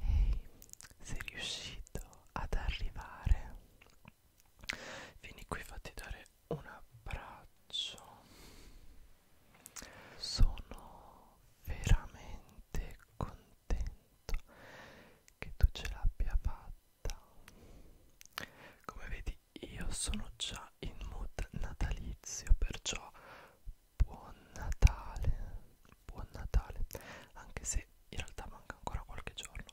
Ehi, sei riuscito ad arrivare? Vieni qui, fatti dare un abbraccio. Sono veramente contento che tu ce l'abbia fatta. Come vedi, io sono già in mood natalizio, perciò buon Natale, buon Natale, anche se in realtà manca ancora qualche giorno,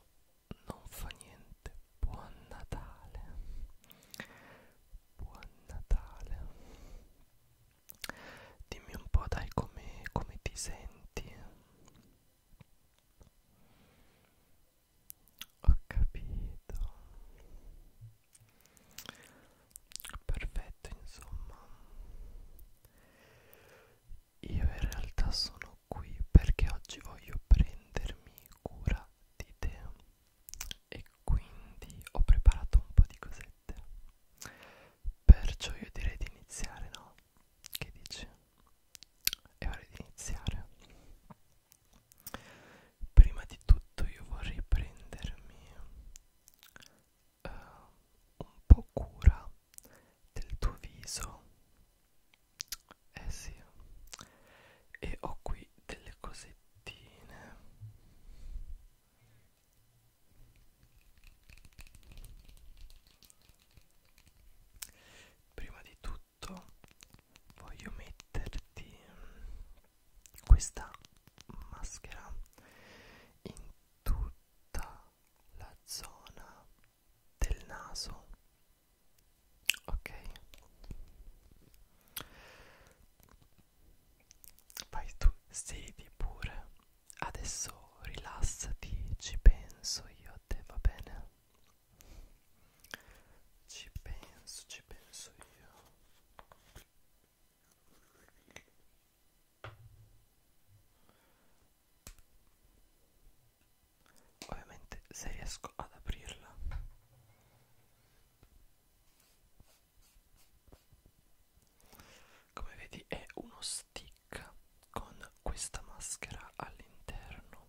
non fa niente, buon Natale, buon Natale. Dimmi un po' dai come, come ti senti. Ho capito perfetto insomma io in realtà sono qui perché oggi voglio prendermi cura di te e quindi ho preparato un po' di cosette perciò io direi di iniziare no? che dici? è ora di iniziare prima di tutto io vorrei prendermi uh, un po' cura del tuo viso eh sì e ho qui delle cosettine prima di tutto voglio metterti questa maschera in tutta la zona del naso ok vai tu siedi pure adesso rilassati ci penso io a te va bene ci penso ci penso io Ovviamente se riesco ad aprirla Come vedi è uno stick con questa maschera all'interno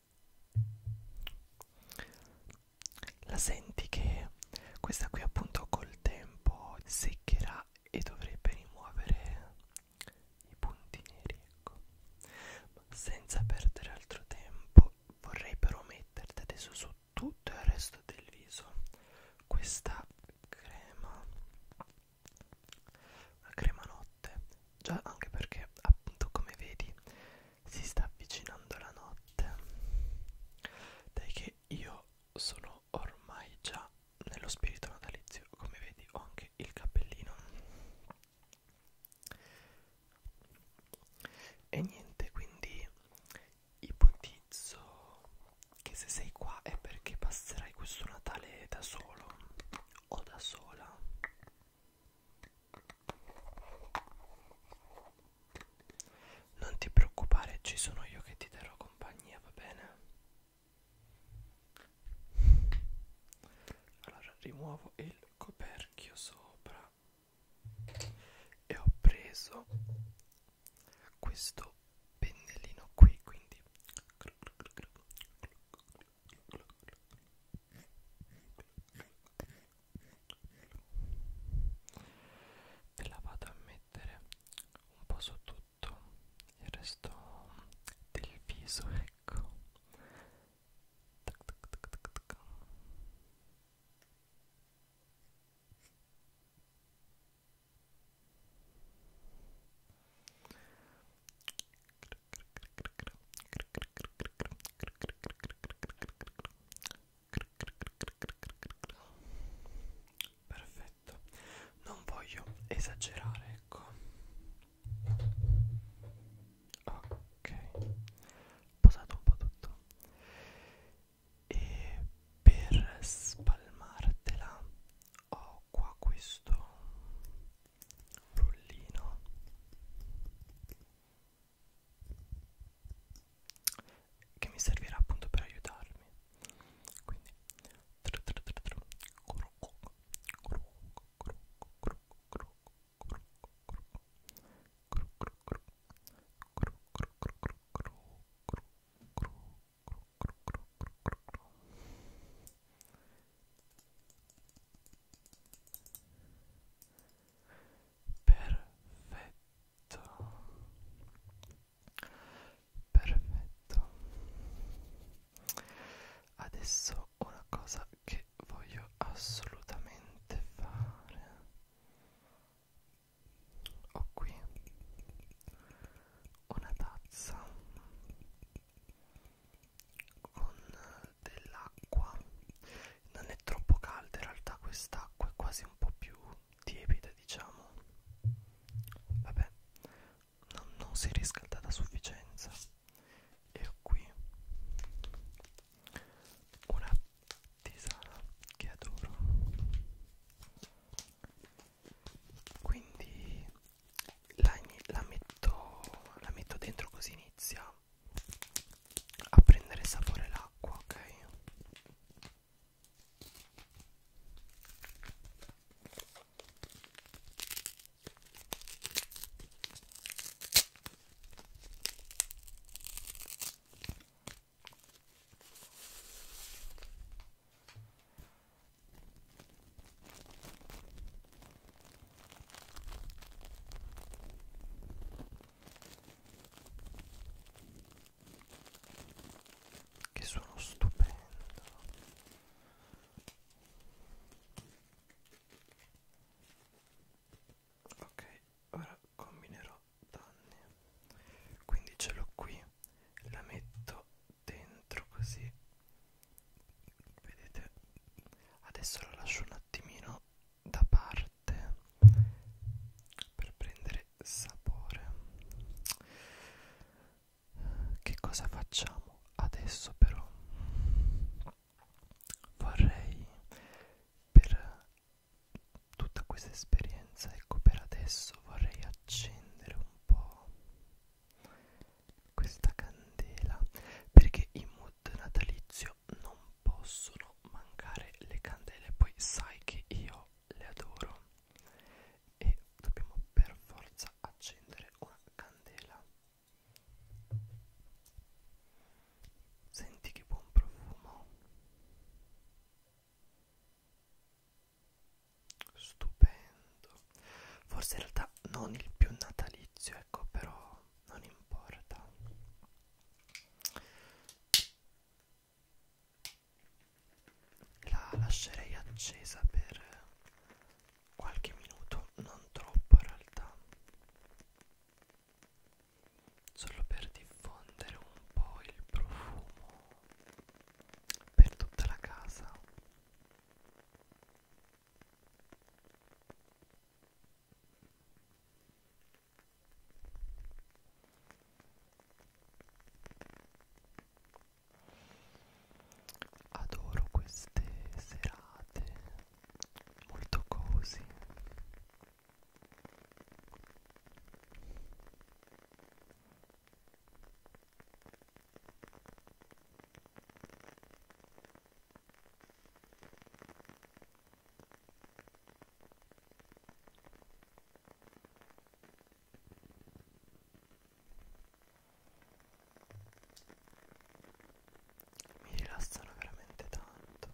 La senti che questa qui appunto col tempo seccherà e dovrebbe rimuovere i punti neri, ecco. Ma senza perdere altro tempo vorrei però metterti adesso su tutto il resto del viso questa crema una crema notte già anche perché appunto come vedi si sta avvicinando la notte dai che io sono ormai già nello spirito natalizio come vedi ho anche il cappellino e niente quindi ipotizzo che se sei qua è perché passerai questo Natale da solo o da sola non ti preoccupare ci sono io che ti darò compagnia va bene allora rimuovo il coperchio sopra e ho preso questo pennellino qui quindi e la vado a mettere un po' su tutto il resto del viso ecco tac, tac, tac, tac, tac. Perfetto, non voglio esagerare, ecco. Ok, posate un po' tutto. E per spalmartela ho ho qua questo rullino che mi servirà appunto per aiutarmi quindi Perfetto. Perfetto. Adesso una cosa che voglio assolutamente fare. Ho qui una tazza con dell'acqua non è troppo calda in realtà quest'acqua è quasi un po' più tiepida diciamo vabbè non, non si è riscaldata a sufficienza e ho qui una tisana che adoro quindi la, la, metto, la metto dentro così inizia a prendere sapore l'acqua ok che sono stupendo ok ora combinerò danni quindi ce l'ho qui la metto dentro così vedete adesso la lascio un attimino da parte per prendere sapore che cosa facciamo adesso però vorrei per tutta questa esperienza ecco per adesso vorrei accendere un un po' questa candela perché in mood natalizio non possono mancare le candele poi sai che io le adoro e dobbiamo per forza accendere una candela senti che buon profumo stupendo forse in realtà non il più natalizio ecco però non importa la lascerei accesa per qualche minuto non troppo in realtà solo per diffondere un po' il profumo per tutta la casa adoro queste serate molto così mi rilassano veramente tanto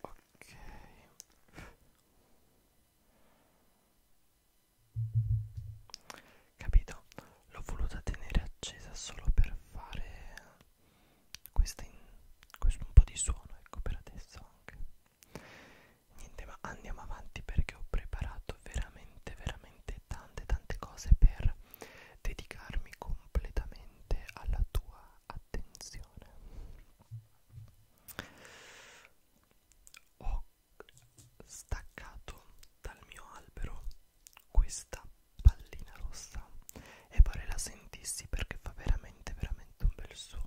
Ok. Capito? L'ho voluta tenere accesa solo per fare questo è un po' di suono ecco per adesso anche niente ma andiamo avanti perché ho preparato veramente veramente tante tante cose per dedicarmi completamente alla tua attenzione ho staccato dal mio albero questa pallina rossa e pare la sentissi perché fa veramente veramente un bel suono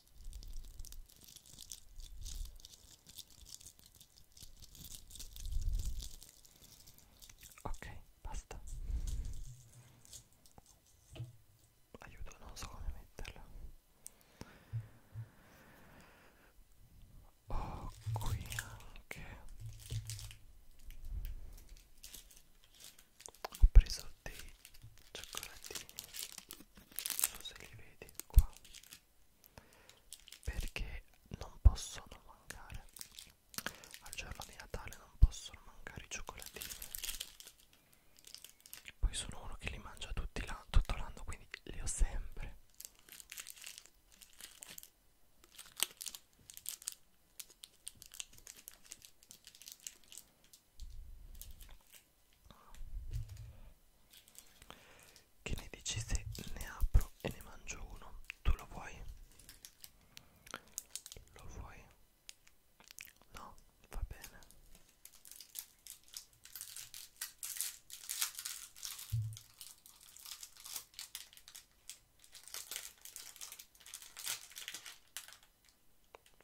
ok basta aiuto non so come metterla ho qui anche ho preso dei cioccolatini non so se li vedi qua perché non possono mancare al giorno di Natale non possono mancare i cioccolatini poi sono uno che li mangia tutti tutto l'anno quindi li ho sempre che ne dici se ne apro e ne mangio uno? Tu lo vuoi? Lo vuoi? No, va bene.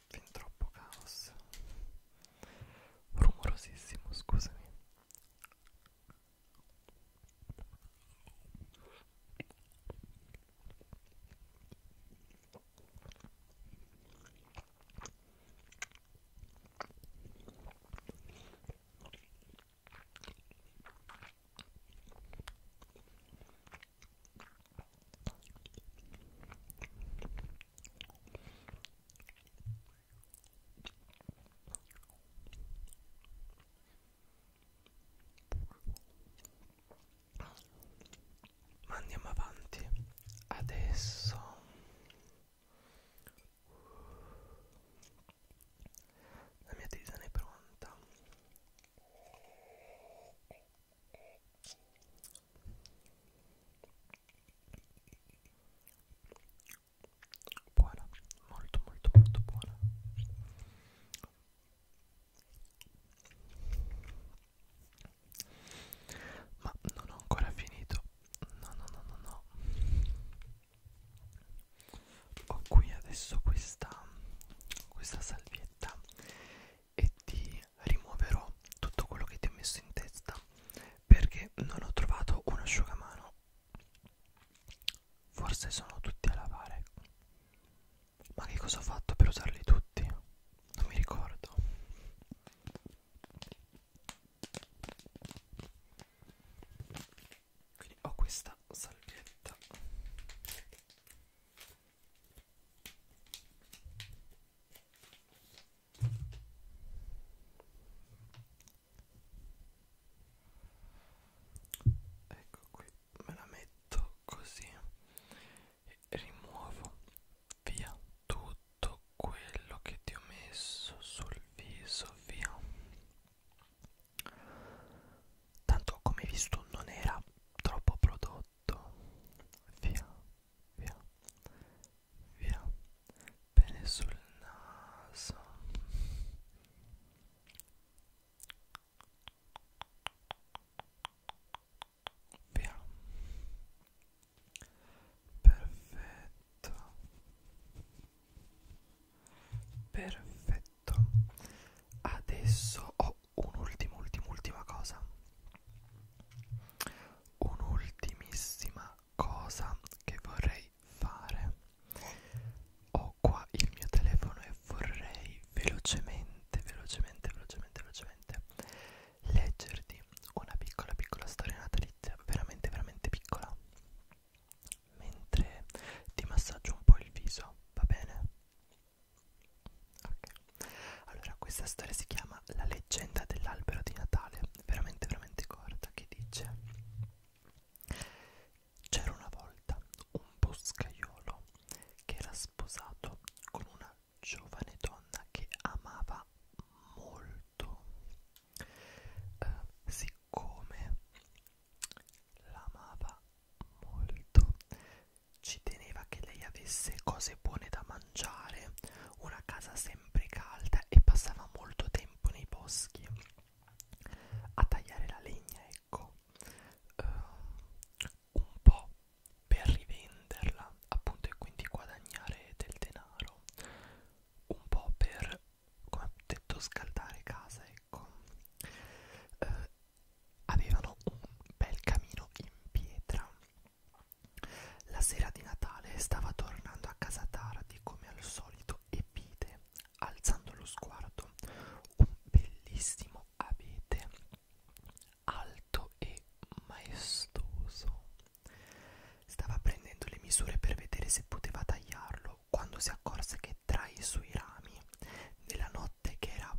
Fin troppo caos. Rumorosissimo, scusami. Ma andiamo avanti adesso. La mia tisana è pronta buona molto molto molto buona ma non ho ancora finito no no no no no ho qui adesso questa questa salvietta e ti rimuoverò tutto quello che ti ho messo in testa perché non ho trovato un asciugamano forse sono tutti a lavare ma che cosa ho fatto per usarli tutti non mi ricordo quindi ho questa salvietta ecco qui me la metto così e rimuovo via tutto quello che ti ho messo sul viso via tanto come visto non era troppo prodotto sotto via via via bene sul naso via perfetto perfetto adesso ho un'ultima, ultima, ultima cosa. Un'ultimissima cosa che vorrei fare. Ho qua il mio telefono e vorrei velocemente, velocemente, velocemente, velocemente leggerti una piccola, piccola storia natalizia, veramente, veramente piccola. Mentre ti massaggio un po' il viso, va bene? Ok, allora questa storia si chiama La leggenda dell'albero di Natale, veramente veramente corta, che dice C'era una volta un boscaiolo che era sposato con una giovane donna che amava molto. Eh, siccome l'amava molto, ci teneva che lei avesse cose buone da mangiare, una casa sempre calda e passava molto tempo nei boschi a tagliare la legna, ecco, uh, un po' per rivenderla, appunto, e quindi guadagnare del denaro, un po' per, come ho detto, scaldare casa, ecco. Uh, avevano un bel camino in pietra. La sera di Natale stava tornando a casa tardi come al solito e vide, alzando lo sguardo, un bellissimo abete alto e maestoso. Stava prendendo le misure per vedere se poteva tagliarlo quando si accorse che tra i suoi rami, nella notte che era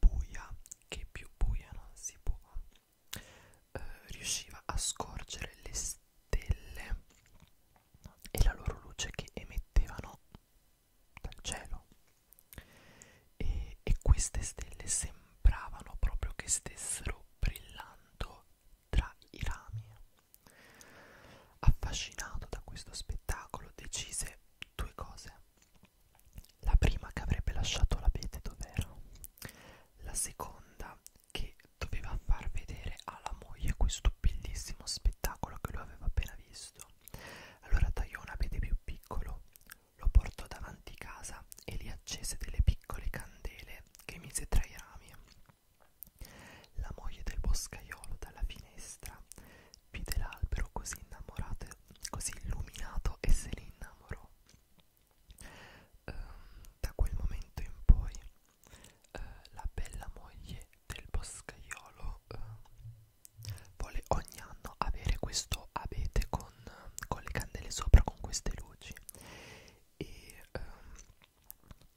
buia che più buia non si può eh, riusciva a scorgere le stelle e la loro luce che emettevano dal cielo e, e queste stelle sembravano proprio che stessero brillando tra i rami affascinato da questo spettacolo decise due cose. La prima che avrebbe lasciato l'abete dov'era, la seconda che doveva far vedere alla moglie questo bellissimo spettacolo che lui aveva appena visto. Allora tagliò un abete più piccolo, lo portò davanti casa e lì accese delle piccole candele che mise tra i rami. La moglie del boscaiolo dalla finestra Vide l'albero così innamorato, così illuminato e se ne innamorò. Eh, da quel momento in poi eh, la bella moglie del boscaiolo eh, vuole ogni anno avere questo abete con, con le candele sopra, con queste luci. E eh,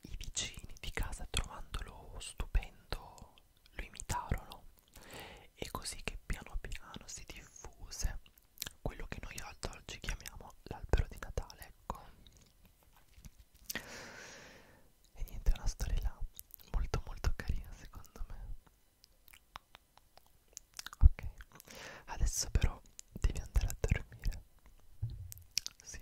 i vicini di casa, trovandolo stupendo lo imitarono e così che piano piano si diffuse quello che noi ad oggi chiamiamo l'albero di Natale ecco e niente è una storia molto molto carina secondo me ok adesso però devi andare a dormire sì